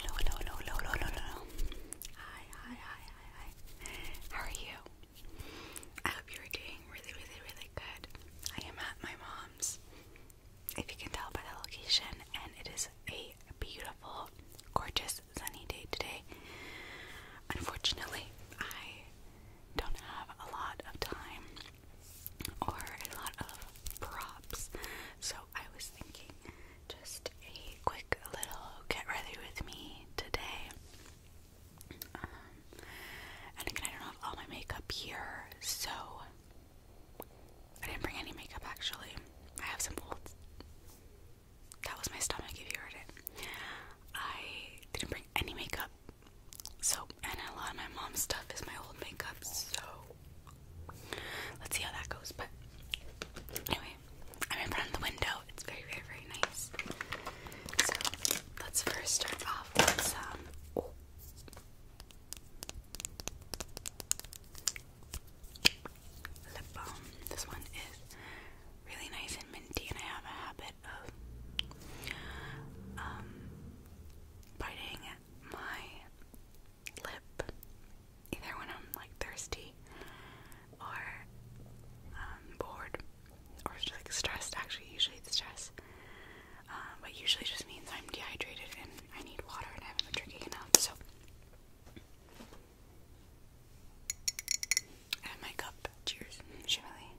Hello, hello, hello, hello, hello, hello, hello. Hi, hi, hi, hi, hi. How are you? I hope you're doing really, really, really good. I am at my mom's. If you can tell by the location, and it is a beautiful, gorgeous sunny day today. Unfortunately, I don't have a lot of time or a lot of props, so I was thinking just a quick little get ready with me today. Um, and again, I don't have all my makeup here, so I didn't bring any makeup actually. I have some old that was my stomach if you heard it. I didn't bring any makeup. So, and a lot of my mom's stuff is my old makeup, so let's see how that goes. But anyway, I'm in front of the window. It's very, very, very nice. So let's first start off with some lip balm. This one is really nice and minty, and I have a habit of um, biting my lip either when I'm like thirsty or um, bored or like stressed. Actually, usually it's stress, uh, but usually just means I'm dehydrated and I need water and I haven't been drinking enough. So. And my cup. Cheers. Shirley.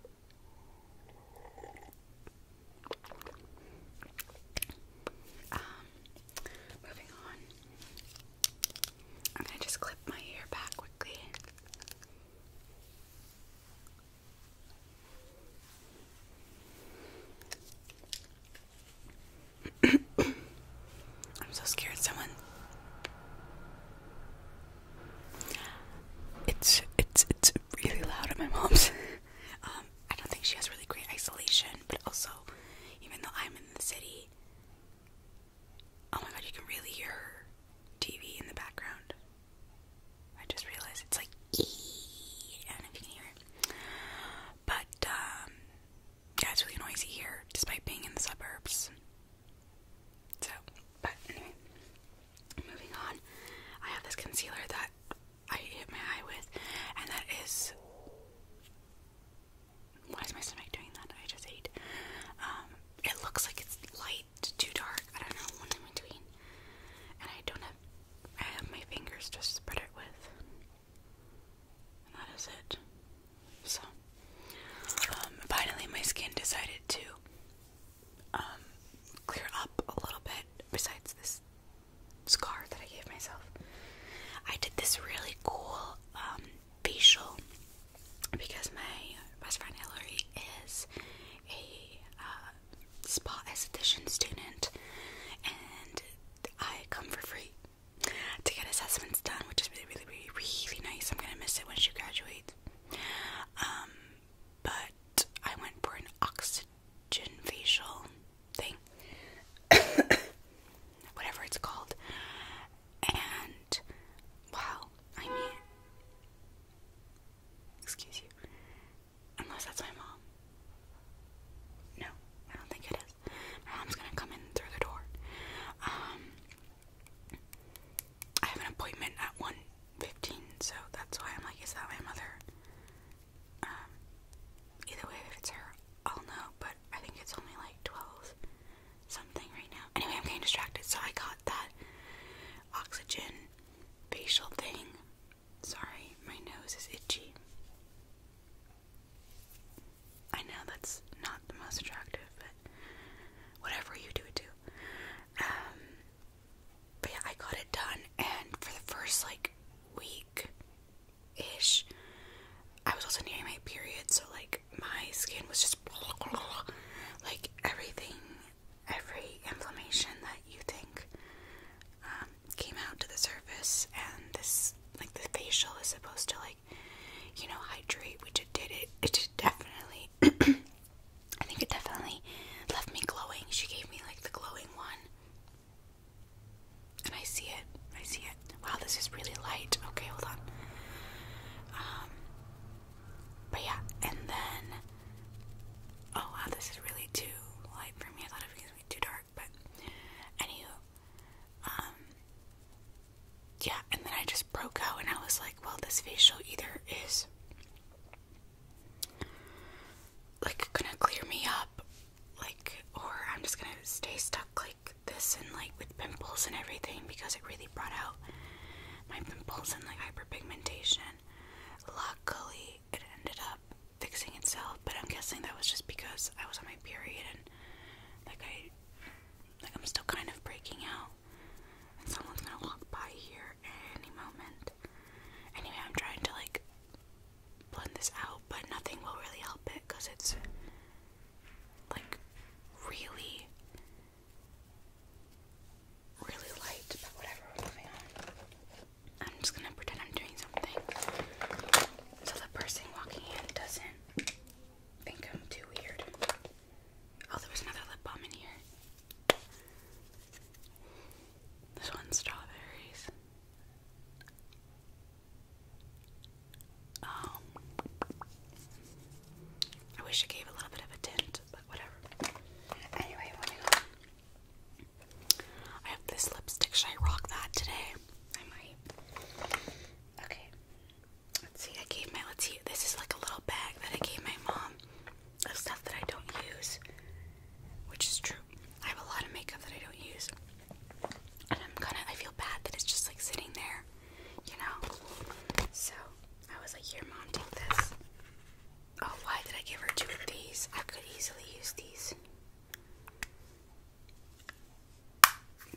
Um, moving on. I'm gonna just clip my hair back quickly. I'm so scared someone It's it's it's really loud at my mom's. Um, I don't think she has really great isolation, but also even though I'm in the city Oh my god, you can really hear TV in the background. I just realized it's like eee, I can hear it. But um, yeah, it's really noisy here, despite being in the suburbs. So, but anyway, moving on, I have this concealer that I hit my eye with, and that is. Why is my stomach doing that? I just ate. Um, it looks like it's light too dark. I don't know, one in between. And I don't have. I have my fingers to spread it with that is it. So, um, finally, my skin decided to um, clear up a little bit, besides this scar that I gave myself. I did this really cool um, facial because my best friend Hillary is a uh, spa esthetician student, and I come for free to get assessments done, which is really, really, really, really nice. I'm gonna miss it when she graduates. Um, but I went for an oxygen facial thing, whatever it's called, and wow, I mean, excuse you, unless that's my mom. No, I don't think it is. My mom's gonna come in through the door. Um, I have an appointment at one fifteen, so that's why I'm like, is that my mother? Um, either way, if it's her, I'll know. But I think it's only like twelve something right now. Anyway, I'm getting distracted, so I got that oxygen facial thing. Sorry, my nose is itchy. I know that's not the most attractive, but whatever you do, do. Um, but yeah, I got it done, and for the first like week ish, I was also nearing my period, so like my skin was just like everything, every inflammation that you think um, came out to the surface and this like the facial is supposed to like you know hydrate We just did it it did definitely I think it definitely left me glowing. She gave me like the glowing one. And I see it. I see it. Wow, this is really light. Okay, hold on. Um but yeah, and then oh this is really too light for me. I thought it was too dark but anywho, um, yeah, and then I just broke out and I was like, well, this facial either is like gonna clear me up, like, or I'm just gonna stay stuck like this and like with pimples and everything because it really brought out my pimples and like hyperpigmentation. Luckily, it ended up fixing itself, but I'm guessing that was just because I was on my period and like I like I'm still kind of breaking out. And someone's gonna walk by here any moment. Anyway, I'm trying to like blend this out, but nothing will really help it because it's like really, really light. But whatever, I'm just gonna pretend I'm doing something so the person walking in doesn't think I'm too weird. Oh, there was another lip balm in here. This one's strawberries. Oh. I wish it gave a little bit of a tint, but whatever. Anyway, I have this lipstick. Should I rock that today? I might. Okay. Let's see. I gave my. Let's see. This is like a little bag that I gave my mom of stuff that I don't use, which is true. I have a lot of makeup that I don't use, and I'm kind of. I feel bad that it's just like sitting there, you know. So I was like, "Here, mom, take this." Oh, why did I give her two of these? I could easily use these.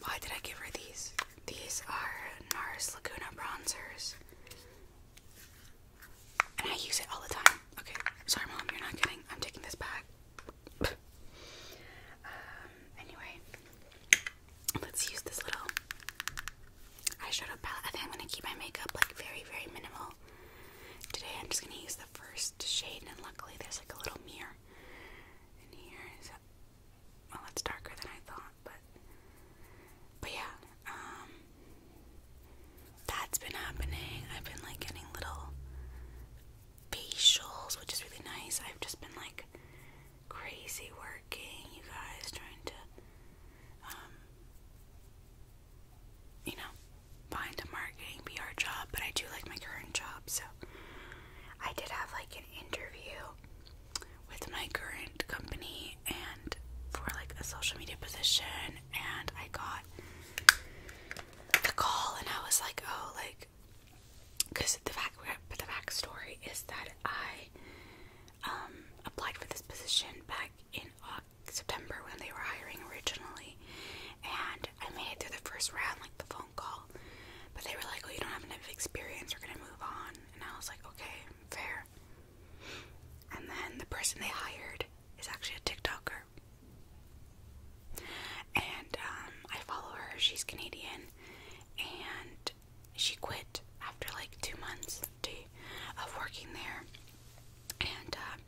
Why did I give her these? These are NARS Laguna bronzers. And I use it all the time. Okay, sorry, Mom, you're not kidding. I'm taking this back. Um, anyway, let's use this little eyeshadow palette. I think I'm gonna keep my makeup like very, very minimal. Today I'm just going to use the first shade, and luckily there's like a little mirror in here. well, it's darker than I thought, but but yeah, um, that's been happening. I've been like getting little facials, which is really nice. I've just been like crazy working, you guys, trying to um, you know, find a marketing PR job, but I do like my current job, so I did have like an interview with my current company and for like a social media position and I got the call and I was like, oh, like, because the fact, but the backstory is that I um, applied for this position back in September when they were hiring originally, and I made it through the first round, like the phone call. But they were like, "Oh, you don't have enough experience. We're gonna move on." And I was like, "Okay, fair." And then the person they hired is actually a TikToker, and um, I follow her. She's Canadian, and she quit after like two months of working there and um,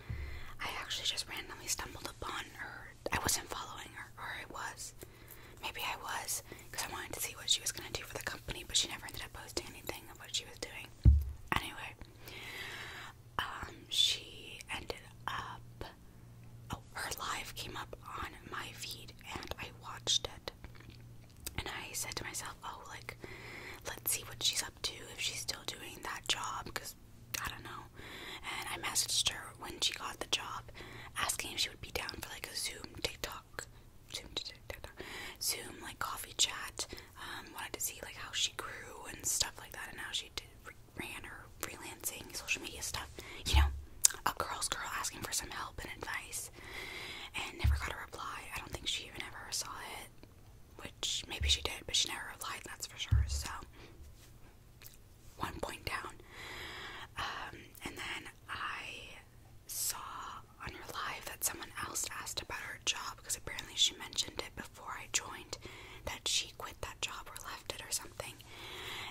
I actually just randomly stumbled upon her. I wasn't following her, or I was. Maybe I was, because I wanted to see what she was going to do for the company, but she never ended up posting anything of what she was doing. Anyway, um, she ended up. Oh, her live came up on my feed, and I watched it. And I said to myself, oh, like, let's see what she's up up if she's still doing that job because I don't know. And I messaged her when she got the job asking if she would be down for like a Zoom TikTok, Zoom like coffee chat. Um, wanted to see like how she grew and stuff like that and how she did, ran her freelancing, social media stuff. You know, a girl's girl asking for some help and advice and never got a reply. I don't think she even ever saw it which maybe she did, but she never replied, that's for sure. So, one point down. Um, and then I saw on her live that someone else asked about her job because apparently she mentioned it before I joined that she quit that job or left it or something.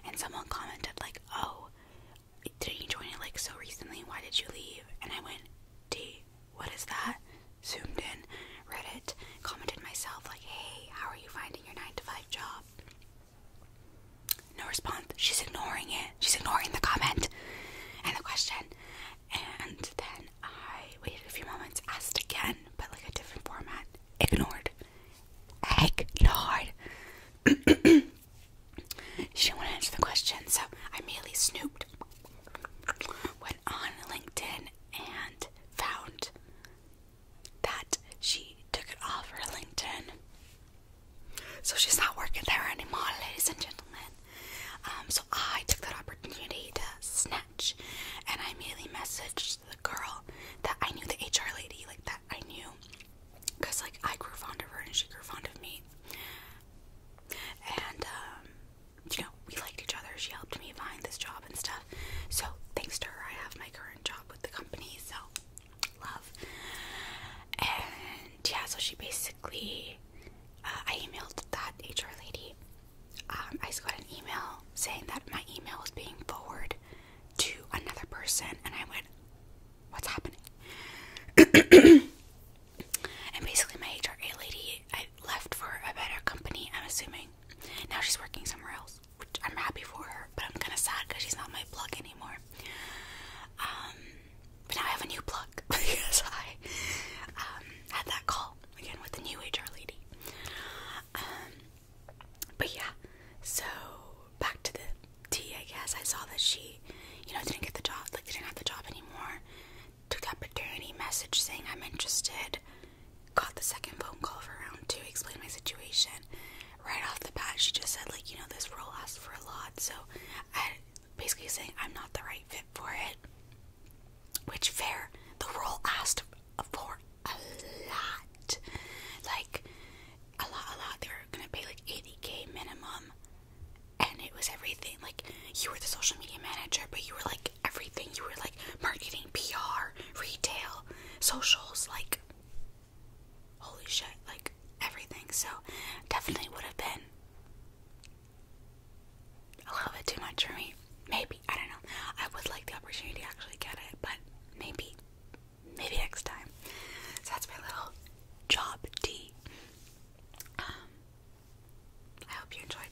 And someone commented, like, oh, didn't you join it like so recently? Why did you leave? And I went, D, what is that? zoomed in, read it, commented myself, like, hey, how are you finding your 9 to 5 job? No response. She's ignoring it. She's ignoring the comment and the question. And then I waited a few moments, asked again, but like a different format. Ignored. Ignored. she didn't want to answer the question, so I merely snooped went on LinkedIn and found that she took it off her LinkedIn. So she's not working there anymore, ladies and gentlemen. Um, so I took that opportunity to snatch and I immediately messaged the girl that I knew, the HR lady, like that I knew. Because, like, I grew fond of her and she grew fond of me. And, um, you know, we liked each other. She helped me find this job and stuff. So thanks to her, I have my current job with the company. So love. And yeah, so she basically, uh, I emailed that HR lady. Um, I just got an email saying that my email is being forwarded to another person, and I went, "What's happening?" And basically, my HR lady I left for a better company, I'm assuming. Now she's working somewhere else, which I'm happy for her, but I'm kind of sad because she's not my plug anymore. Um, but now I have a new plug because I um, had that call again with the new HR lady. Um, but yeah, so back to the tea, I guess. I saw that she they, you know, didn't get the job, like they didn't have the job anymore. Took that paternity message saying I'm interested. Got the second phone call for round two, explained my situation. Right off the bat, she just said like, you know, this role asks for a lot, so I basically saying I'm not the right fit for it. Which fair, the role asked for a lot, like a lot, a lot. They were gonna pay like 80k minimum and it was everything. Like you were the social media manager, but you were like everything. You were like marketing, PR, retail, socials, like holy shit, like everything. So definitely would have been a little bit too much for me. Maybe I don't know. I would like the opportunity to actually get it, but maybe, maybe next time. So that's my little job D. Um, I hope you enjoyed.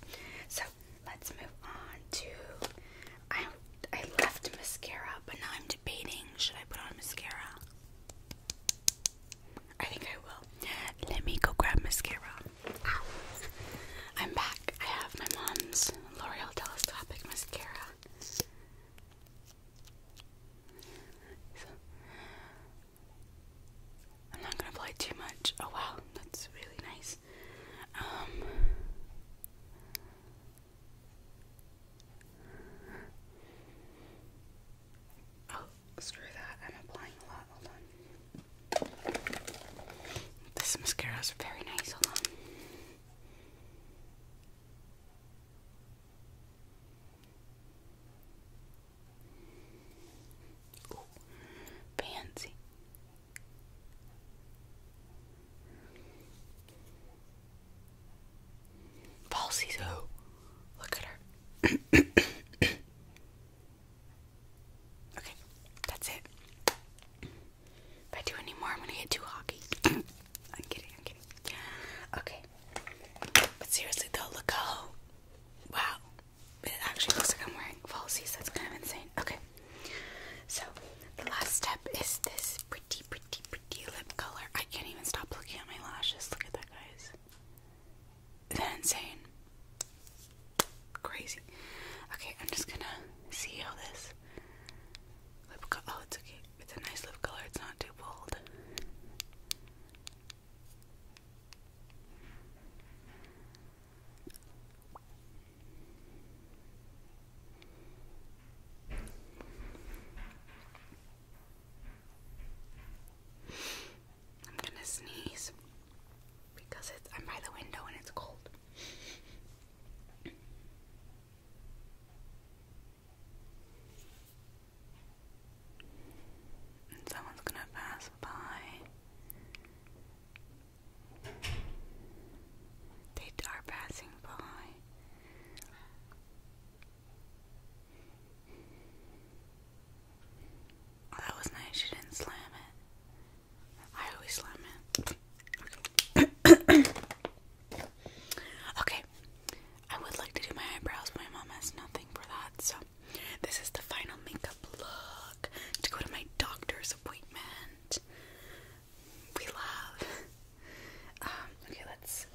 So let's move on to. I I left mascara, but now I'm debating should I put on mascara. I think I will. Let me go grab mascara. I'm back. I have my mom's L'Oreal Telescopic Mascara. So, I'm not gonna play too much. Oh wow, that's really nice. Um, oh, screw that. I'm applying a lot. Hold on. This mascara is very nice. Hold on. Pansy. Falsies, oh, look at her. okay, that's it. If I do any more, I'm gonna get too hockey. I'm kidding, I'm kidding. Okay, but seriously though, look at how wow. It actually looks like I'm wearing falsies. That's kind of insane. Okay. So the last step is this pretty, pretty, pretty lip color. I can't even stop looking at my lashes. Look at that, guys. Isn't that insane? Crazy. Okay, I'm just gonna see how this lip color. Oh, it's okay it's a nice lip color, it's not too bold. I'm gonna sneeze because it's I'm by the window and it's cold someone's going to pass by. They are passing by. Oh, that was nice. She didn't slam it. I always slam it. okay, I would like to do my eyebrows, but my mom has nothing for that, so this is the final makeup look to go to my doctor's appointment. We love. Um, okay, let's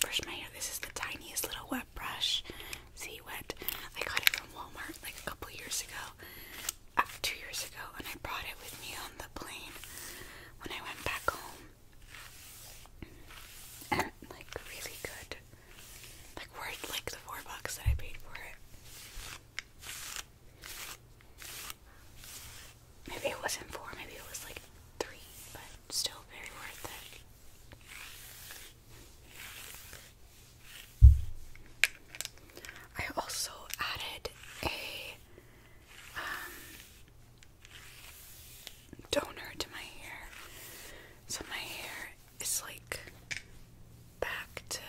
brush my hair. This is the tiniest little wet brush. See, wet. I got it from Walmart like a couple years ago, uh, two years ago, and I brought it with me on the plane when I went back home. And like really good. Like worth like the four bucks that I paid for it. Maybe it wasn't four, maybe it was like three, but still very worth it. I also added a um, donor to my hair. So my hair is like back to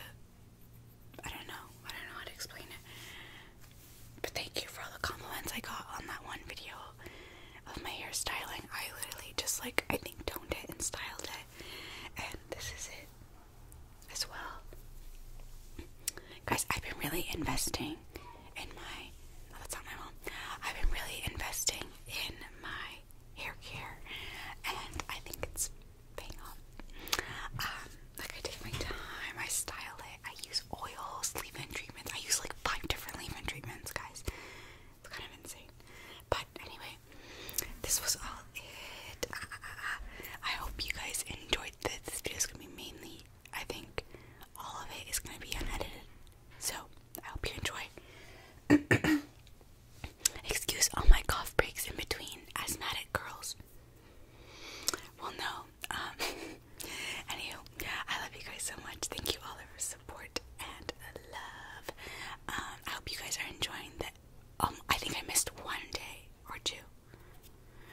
I don't know. I don't know how to explain it. But thank you for all the compliments I got on that one video of my hair styling. I literally just like I think toned it and styled it. And this is it as well. Guys, I've been really investing in my. that's not my mom. I've been really investing in my hair care, and I think it's paying off. Um, like I take my time, I style it, I use oils, leave-in treatments. I use like five different leave-in treatments, guys. It's kind of insane. But anyway, this was all it. Ah, ah, ah, I hope you guys enjoyed this video is gonna be mainly, I think, all of it is gonna be unedited. So I hope you enjoy. Excuse all my cough breaks in between asthmatic girls. Well, no. Um, anywho, I love you guys so much. Thank you all for support and the love. Um, I hope you guys are enjoying That um, I think I missed one day or two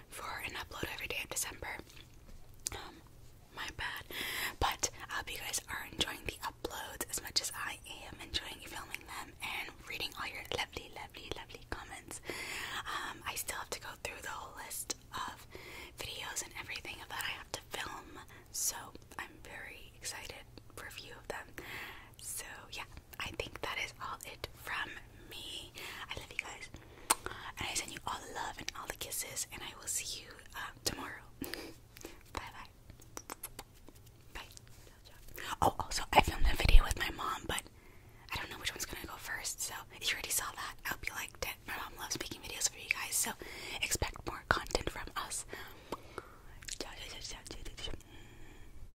for an upload every day of December. Um, my bad. But I hope you guys are enjoying the uploads as much as I am enjoying filming them and reading all your lovely, lovely, lovely comments. Um, I still have to go through the whole list of videos and everything that I have to film, so I'm very excited for a few of them. So, yeah, I think that is all it from me. I love you guys. And I send you all the love and all the kisses. And I will see you uh, tomorrow. bye bye. Bye. Oh, also, I filmed a video with my mom, but I don't know which one's gonna go first. So if you already saw that, I hope you liked it. My mom loves making videos for you guys. So expect more content from us.